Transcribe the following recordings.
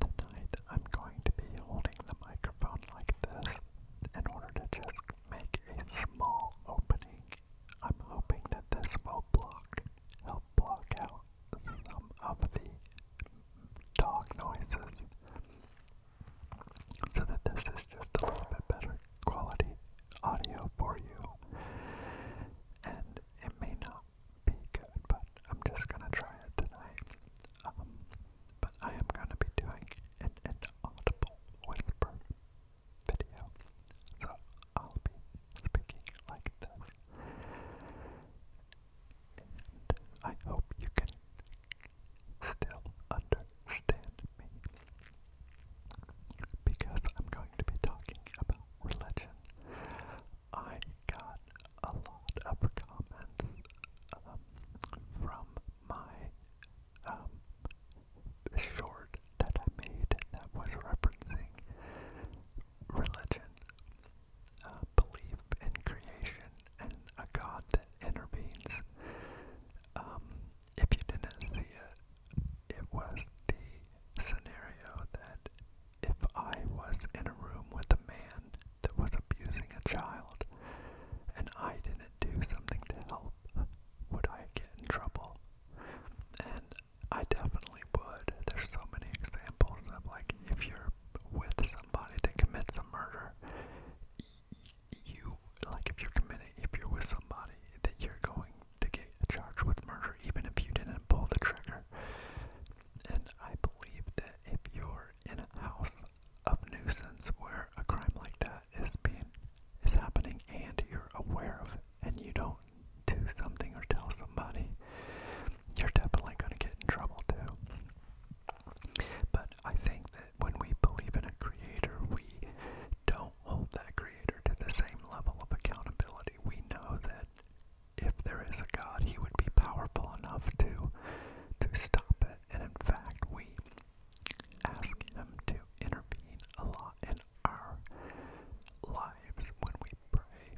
Tonight, I'm going to be holding the microphone like this in order to just make a small opening. I'm hoping that this will block, help block out some of the dog noises so that this is just a little bit better quality audio for you. And it may not be good, but I'm just gonna try it tonight. Um, but I am gonna be doing an inaudible whisper video, so I'll be speaking like this. And I hope you can still understand me. Because I'm going to be talking about religion. I got a lot of comments um, from my um, short that I made that was referencing religion, uh, belief in creation, and a God that intervenes. Um, if you didn't see it, it was the scenario that if I was in a room with a man that was abusing a child and I didn't do something to help, would I get in trouble? And I definitely would. There's so many examples of like if you're with somebody that commits a murder, you like if you're committed if you're with somebody that you're going to get charged with murder even if you didn't pull the trigger. And I believe that if you're in a house of nuisance where a crime like that is being is happening and you're aware of it and you don't do something or tell somebody, you're definitely gonna get in trouble too. But I think that when we believe in a creator, we don't hold that creator to the same level of accountability. We know that if there is a God, he would be powerful enough to to stop it. And in fact, we ask him to intervene a lot in our lives when we pray.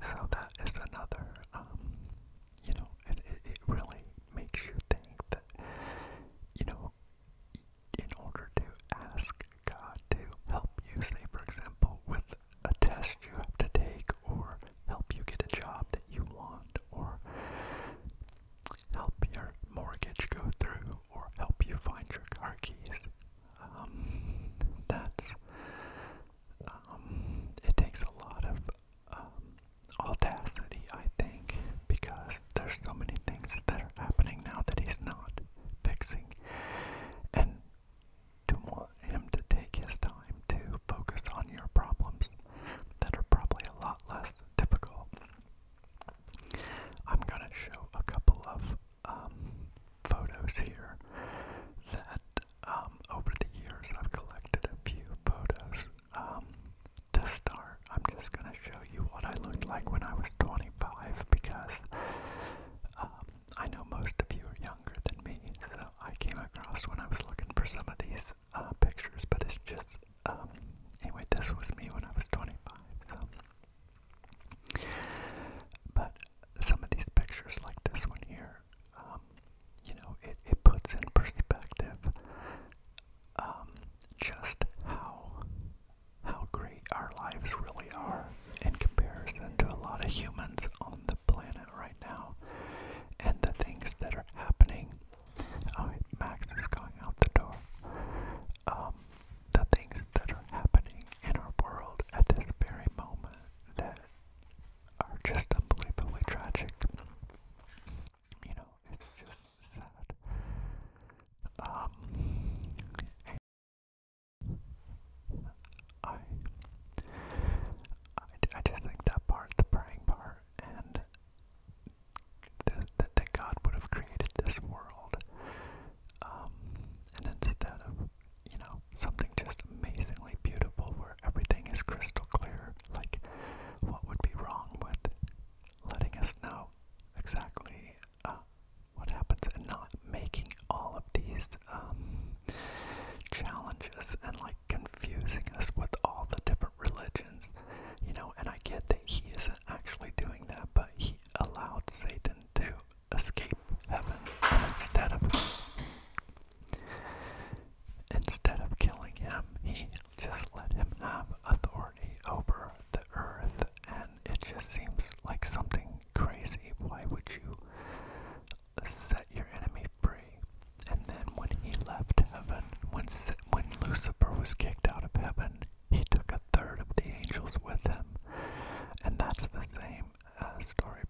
So that is another um, you know, it, it, it really makes you think that, you know, in order to ask God to help you, say, for example, with a test you have to take, or help you get a job that you want, or help your mortgage go through, or help you find your car keys. Um, that's, um, it takes a lot of um, I think, because there's so many things that are happening now that he's not fixing, and to want him to take his time to focus on your problems that are probably a lot less difficult. I'm gonna show a couple of um, photos here that um, over the years I've collected a few photos. Um, to start, I'm just going to show you what I looked like when I was 25 because um, I know most of you are younger than me, so I came across when I was looking for some of these uh, pictures, but it's just, anyway, this was me when I was 25, so. But some of these pictures, like this one here, you know, it, it puts in perspective um, just how how great our lives really are in comparison to a lot of humans on the planet right now, and the things that are happening. Oh, Max is going out the door. Um, the things that are happening in our world at this very moment are just unbelievably tragic. You know, it's just sad. Um, I, I, I just think that part, the praying part, and the, that God would have created this world, um, and instead of you know, something just amazingly beautiful where everything is crystal clear. Like, what would be wrong with letting us know exactly uh, what happens and not making all of these um, challenges and like confusing us with all the different religions, you know? And I get that he isn't actually doing that, but he allowed Satan to escape heaven instead of instead of killing him, he just let him have authority over the earth and it just seems like something crazy. Why would you set your enemy free? And then when he left heaven, when when Lucifer was kicked out of heaven, he took a third of the angels with him. And that's the same uh, story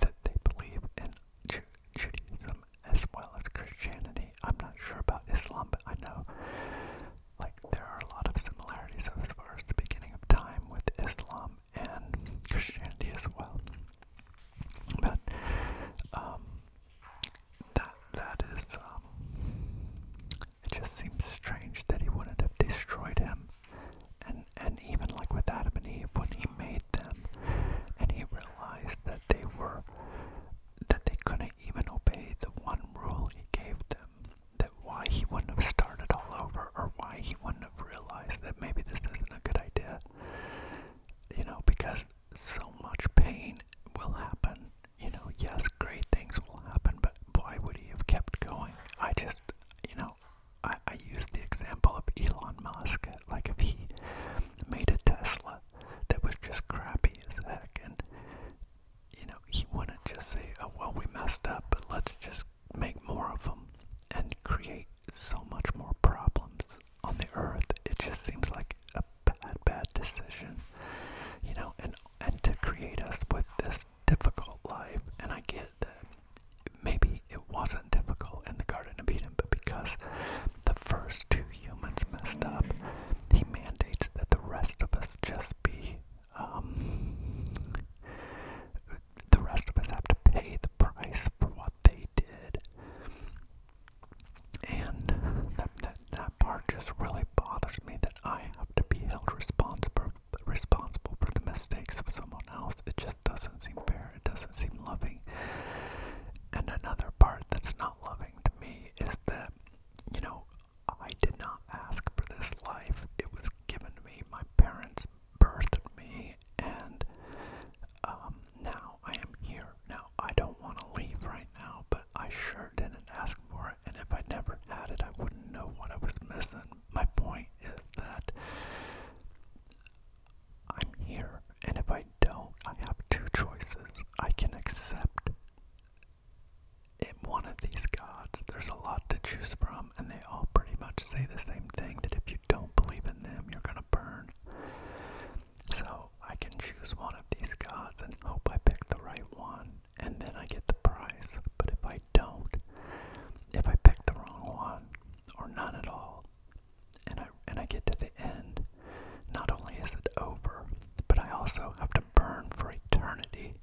that they believe in Judaism as well as Christianity. I'm not sure about Islam, but I know like there are a lot of similarities as far as the beginning of time with Islam and Christianity as well. But um, that that is um, it just seems strange that he wouldn't have destroyed him them. And and even like with Adam and Eve, when he made them, and he realized that they were that they couldn't even obey the one rule he gave them, that why he wouldn't have started all over, or why he wouldn't have realized that maybe this isn't a good idea. You know, because so much pain will happen. You know, yes, great things will happen, but why would he have kept going? I just, you know, now, I, I use the example of Elon Musk. Like, if he made a Tesla that was just crappy as heck, and, you know, he wouldn't just say, oh, well, we messed up, but let's just make more of them and create so much more problems on the earth. It just seems like a bad, bad decision, you know, and, and to create us with this difficult life, and I get that maybe it wasn't difficult in the Garden of Eden, but because the first two humans messed up, he mandates that the rest of us just be, um, the rest of us have to pay the price for what they did. And that, that part just really bothers me that I have to be held responsible responsible for the mistakes of someone else. It just doesn't seem fair. It doesn't seem loving. And another part that's not loving to me is that, you know, I did not ask for this life. It was given to me. My parents birthed me, and um, now I am here. Now, I don't want to leave right now, but I sure didn't ask for it. And if I never had it, I wouldn't know what I was missing my point is that I'm here, and if I don't, I have two choices. I can accept in one of these gods. There's a lot to choose from, and they all pretty much say the same thing that if you don't believe in them, you're gonna burn. So I can choose one of these gods and hope I pick the right one and then I get the prize. But if I don't, if I pick the wrong one or none at all, and I and I get to the end, not only is it over, but I also have to burn for eternity.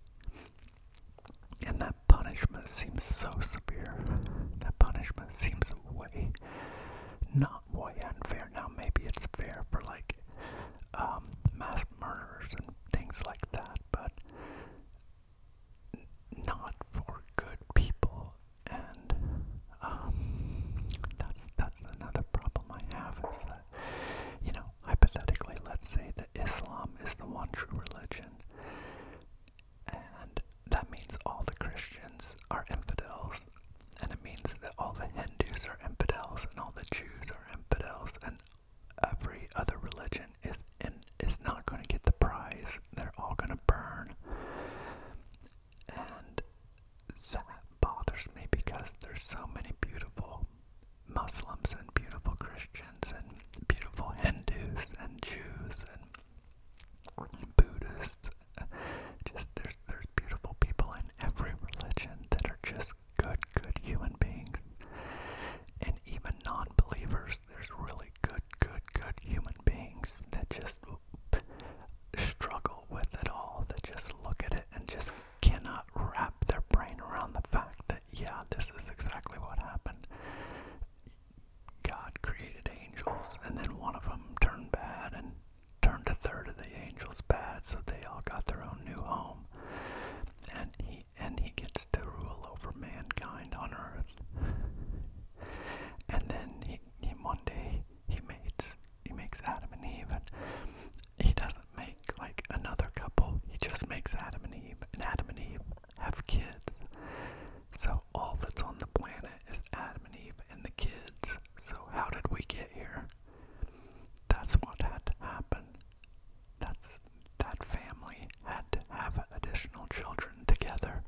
And that punishment seems so severe. That punishment seems way, not way unfair. Now maybe it's fair for like um, mass murderers and things like that, but not for good people, and um, that's that's another problem I have is that you know hypothetically, let's say that Islam is the one true religion, and that means all the Christians are infidels, and it means that all the Hindus are infidels, and all the Jews are infidels, and every other religion is is not going to get the prize. They're all going to burn, and that bothers me because there's so many beautiful Muslims and beautiful Christians and beautiful Hindus and Jews and Buddhists. Just there's there's beautiful people in every religion that are just good, good human beings. And even non believers, there's really good, good, good human beings that just struggle with it all, that just look at it and just cannot wrap their brain around the fact that, yeah, this is exactly what happened. God created angels, and then one of them turned bad and turned a third of the angels bad, so they all got their own new home and he and he gets to rule over mankind on Earth. and then he, one day he makes he makes Adam and Eve, and he doesn't make like another couple. He just makes Adam and Eve, and Adam and Eve have kids. So all that's on the planet is Adam and Eve and the kids. So how did we get here? That's what had to happen that's that family had to have additional children together.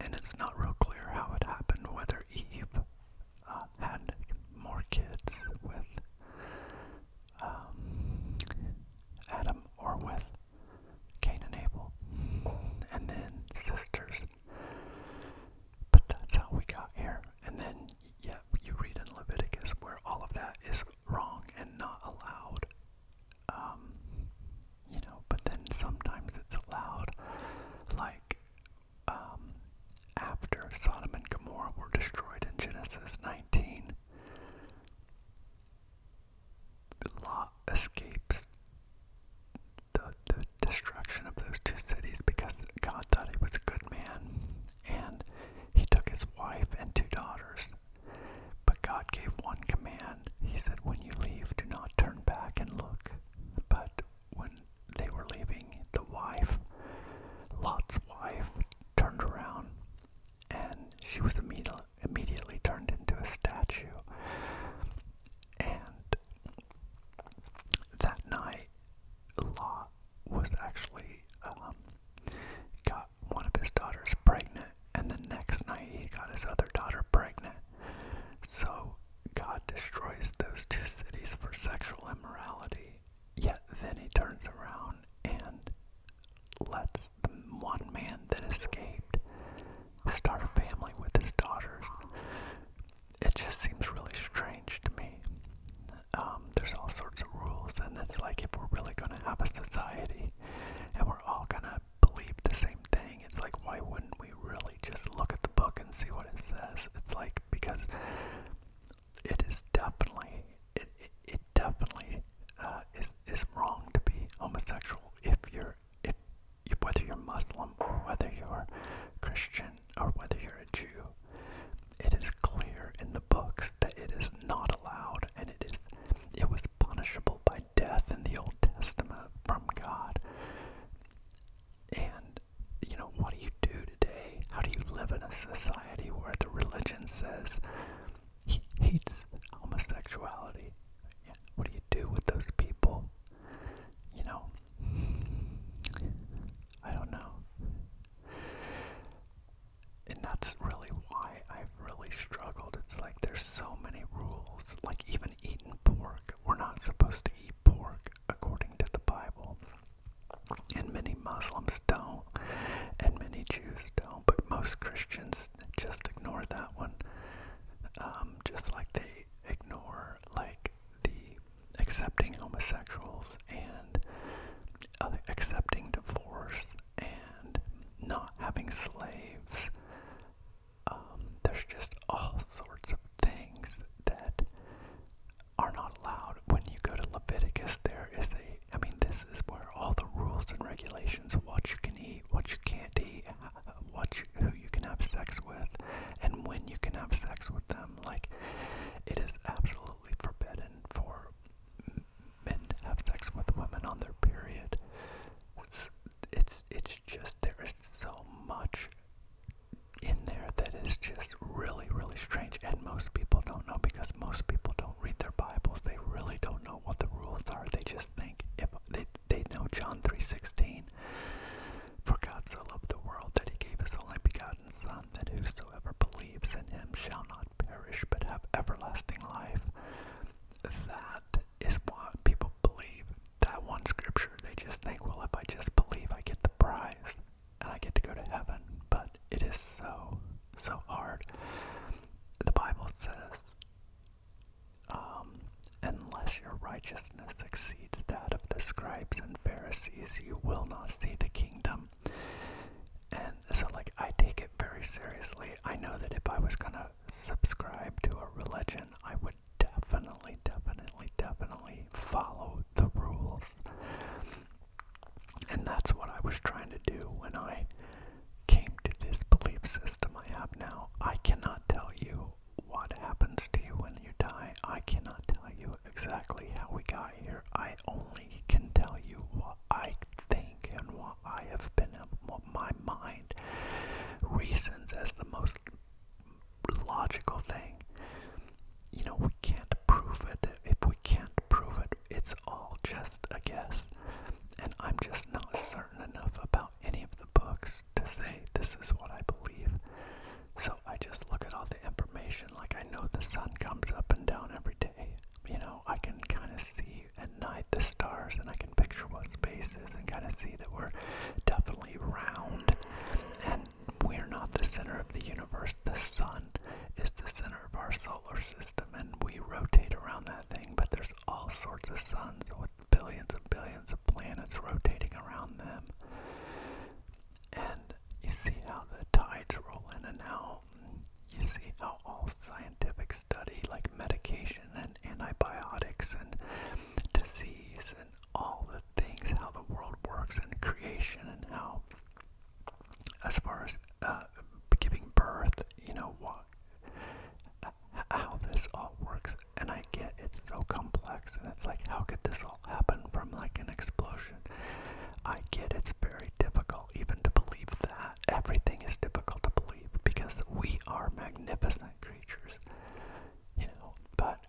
And it's not real clear how it happened, whether Eve uh, had more kids with um, Adam or with Cain and Abel. And then sisters but that's how we got here. And then, yeah, you read in Leviticus where all of that is wrong and not allowed. Um, you know, but then sometimes it's allowed. Like, um, after Sodom and Gomorrah were destroyed in Genesis 19, Lot escapes destruction of those two cities because God thought he was a good man. And he took his wife and two daughters. But God gave one command. He said, When you leave, do not turn back and look. But when they were leaving, the wife, Lot's wife, turned around and she was immediately turned into a statue. And that night, Law was actually um, got one of his daughters pregnant, and the next night he got his other daughter pregnant. So God destroys those two cities for sexual immorality. Yet then he turns around and lets the one man that escaped start a family with his daughters it just seems really strange to me. Um, there's all sorts of rules, and it's like if we're really going to have a society and we're all going to believe the same thing, it's like why wouldn't we really just look at the book and see what it says? It's like because it is definitely it it, it definitely uh, is is wrong to be homosexual if you're if whether you're Muslim or whether you're Christian or whether you're a Jew, it is clear in the books that it is not allowed and it is it was punishable by death in the Old Testament from God. And you know, what do you do today? How do you live in a society where the religion says he hates homosexuality? What do you do with those people? You know, I don't know. And that's really why I've really struggled. It's like there's so many rules. Like even eating pork, we're not supposed to eat pork according to the Bible. And many Muslims don't, and many Jews don't, but most Christians just ignore that one. Um, just like they ignore like the accepting homosexuals and uh, accepting divorce and not having slaves. Um, there's just all sorts of things that are not allowed. When you go to Leviticus, there is a, I mean, this is where all the rules and regulations, what you can eat, what you can't eat, what who you can have sex with and when you can have sex with them. Like, it is absolutely forbidden for men to have sex with women on their period. It's it's, just there is so much in there that is just really really strange and most people don't know because most people don't read their bibles they really don't know what the rules are they just think if they, they know john 3.16 for God so loved the world that he gave his only begotten Son, that whosoever believes in him shall not perish but have everlasting life. That is what people believe. That one scripture, they just think, well, if I just believe, I get the prize and I get to go to heaven. But it is so, so hard. The Bible says um, unless your righteousness exceeds that of the scribes and Pharisees, you will not see the kingdom. And so, like, I take it very seriously. I know that if I was going to subscribe to a religion, I would definitely, definitely, definitely follow the rules. And that's what I was trying to do when I came to this belief system I have now. I cannot tell you what happens to you when you die. I cannot tell you exactly how we got here. I only can tell you what I think and what I have been, in my mind reasons as the most logical thing. You know, we can't prove it. If we can't prove it, it's all just a guess. And I'm just not certain enough about about any of the books to say this is what I believe. So I just look at all the information. Like I know the sun comes up and down every day. You know, I can kind of see at night the stars and I can picture what space is and kind of see that we're definitely round and we're not the center of the universe. The sun is the center of our solar system and we rotate around that thing, but there's all sorts of suns with billions and billions of planets rotating around them. And you see how the tides roll in and out. You see how all scientific study, like medication and antibiotics and disease and all the things, how the world works and creation and how, as far as uh, giving birth, you know, what how this all works and i get it's so complex and it's like how could this all happen from like an explosion i get it's very difficult even to believe that everything is difficult to believe because we are magnificent creatures you know but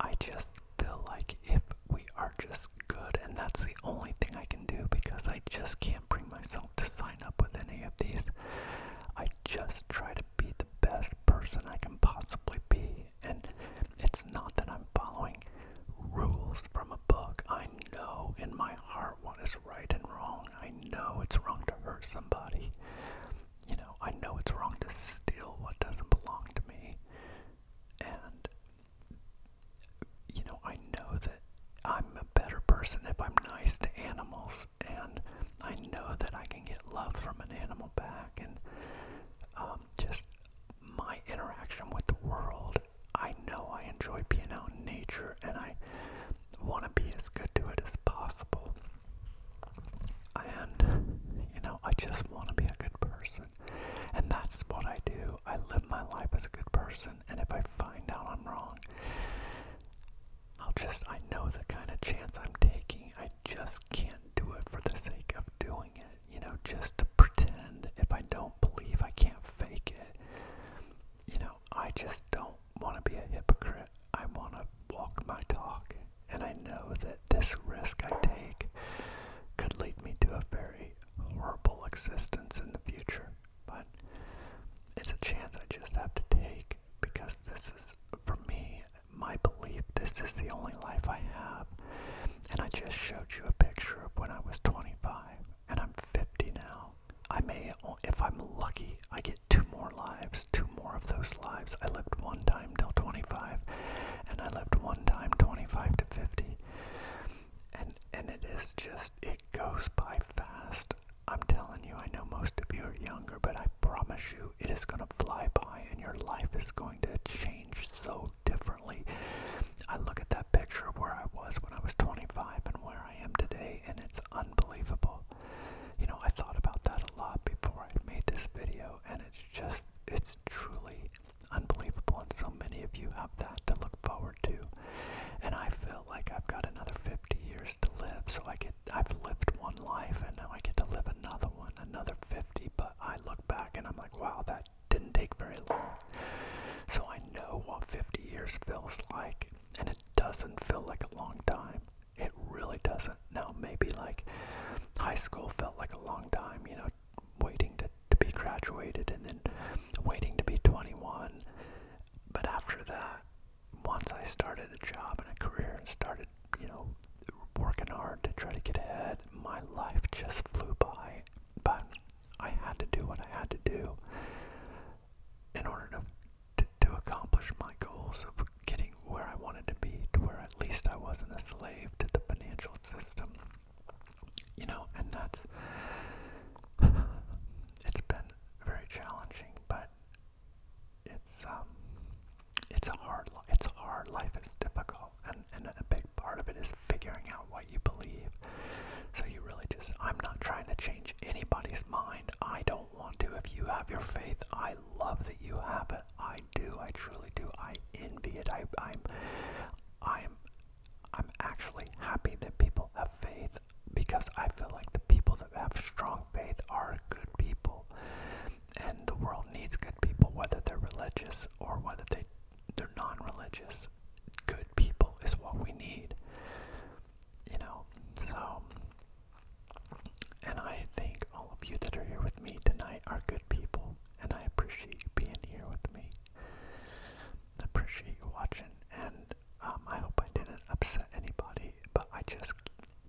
i just feel like if we are just good and that's the only thing i can do because i just can't bring myself to sign up with any of these i just just try to be the best person I can possibly be. And it's not that I'm following rules from a book. I know in my heart what is right and wrong. I know it's wrong to hurt somebody. You know, I know it's wrong to steal what doesn't belong to me. And, you know, I know that I'm a better person if I'm nice to animals and I know that I can get love from an animal back, and um, just my interaction with the world. I know I enjoy being out in nature, and I want to be as good to it as possible. And, you know, I just want to be a good person. And that's what I do. I live my life as a good person, and if I find out I'm wrong, I'll just, I know the kind of chance I'm taking. I just can't do it for the sake of doing it. You know, just to pretend if I don't believe, I can't fake it. You know, I just don't want to be a hypocrite. I want to walk my talk. And I know that this risk I take could lead me to a very horrible existence in the future but it's a chance I just have to take because this is, for me, my belief, this is the only life I have. And I just showed you a picture of when I was 25, and I'm 50 now. I may, if I'm lucky, I get two more lives, two more of those lives. I lived one time till 25, and I lived one time 25 to 50. And, and it is just, it goes by fast. I'm telling you, I know most of you are younger, but I promise you it is going to fly by and your life is going to change so differently. I look at that picture of where I was when I was 25 and where I am today, and it's unbelievable. You know, I thought about that a lot before I made this video, and it's just, it's truly unbelievable, and so many of you have that to look forward forward And I feel like I've got another 50 years to live, so I get I've lived one life and now I get to live another one, another 50, but I look back and I'm like, wow, that didn't take very long. So I know what 50 years feels like, and it doesn't feel like a long time. It really doesn't. Now, maybe like high school felt like a long time, you know, waiting to, to be graduated and then waiting to be 21. But after that, once I started a job and a career and started, you know, working hard to try to get ahead, my life just flew by. But I had to do what I had to do in order to, to, to accomplish my goals of getting where I wanted to be, to where at least I wasn't a slave to the financial system. You know, and that's. It's been very challenging, but it's um, it's a hard life. It's hard. Life is difficult, and and a big part of it is figuring out what you believe. So you really just. I'm not trying to change anybody's mind. I don't want to. If you have your faith, I love that you have it. I do. I truly do. I envy it. I'm. I'm I'm actually happy that people have faith because I feel like the people that have strong faith are good people. And the world needs good people, whether they're religious or whether they, they're non religious. Good people is what we need. You know, so. And I think all of you that are here with me tonight are good people, and I appreciate you being here with me. I appreciate you watching, and um, I hope I didn't upset anybody, but I just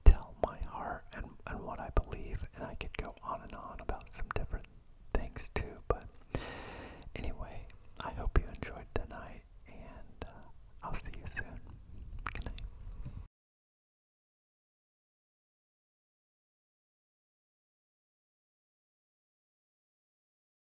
tell my heart and, and what I believe, and I could go on and on about some different things too. But anyway, I hope you enjoyed tonight, and uh, I'll see you soon. Good night.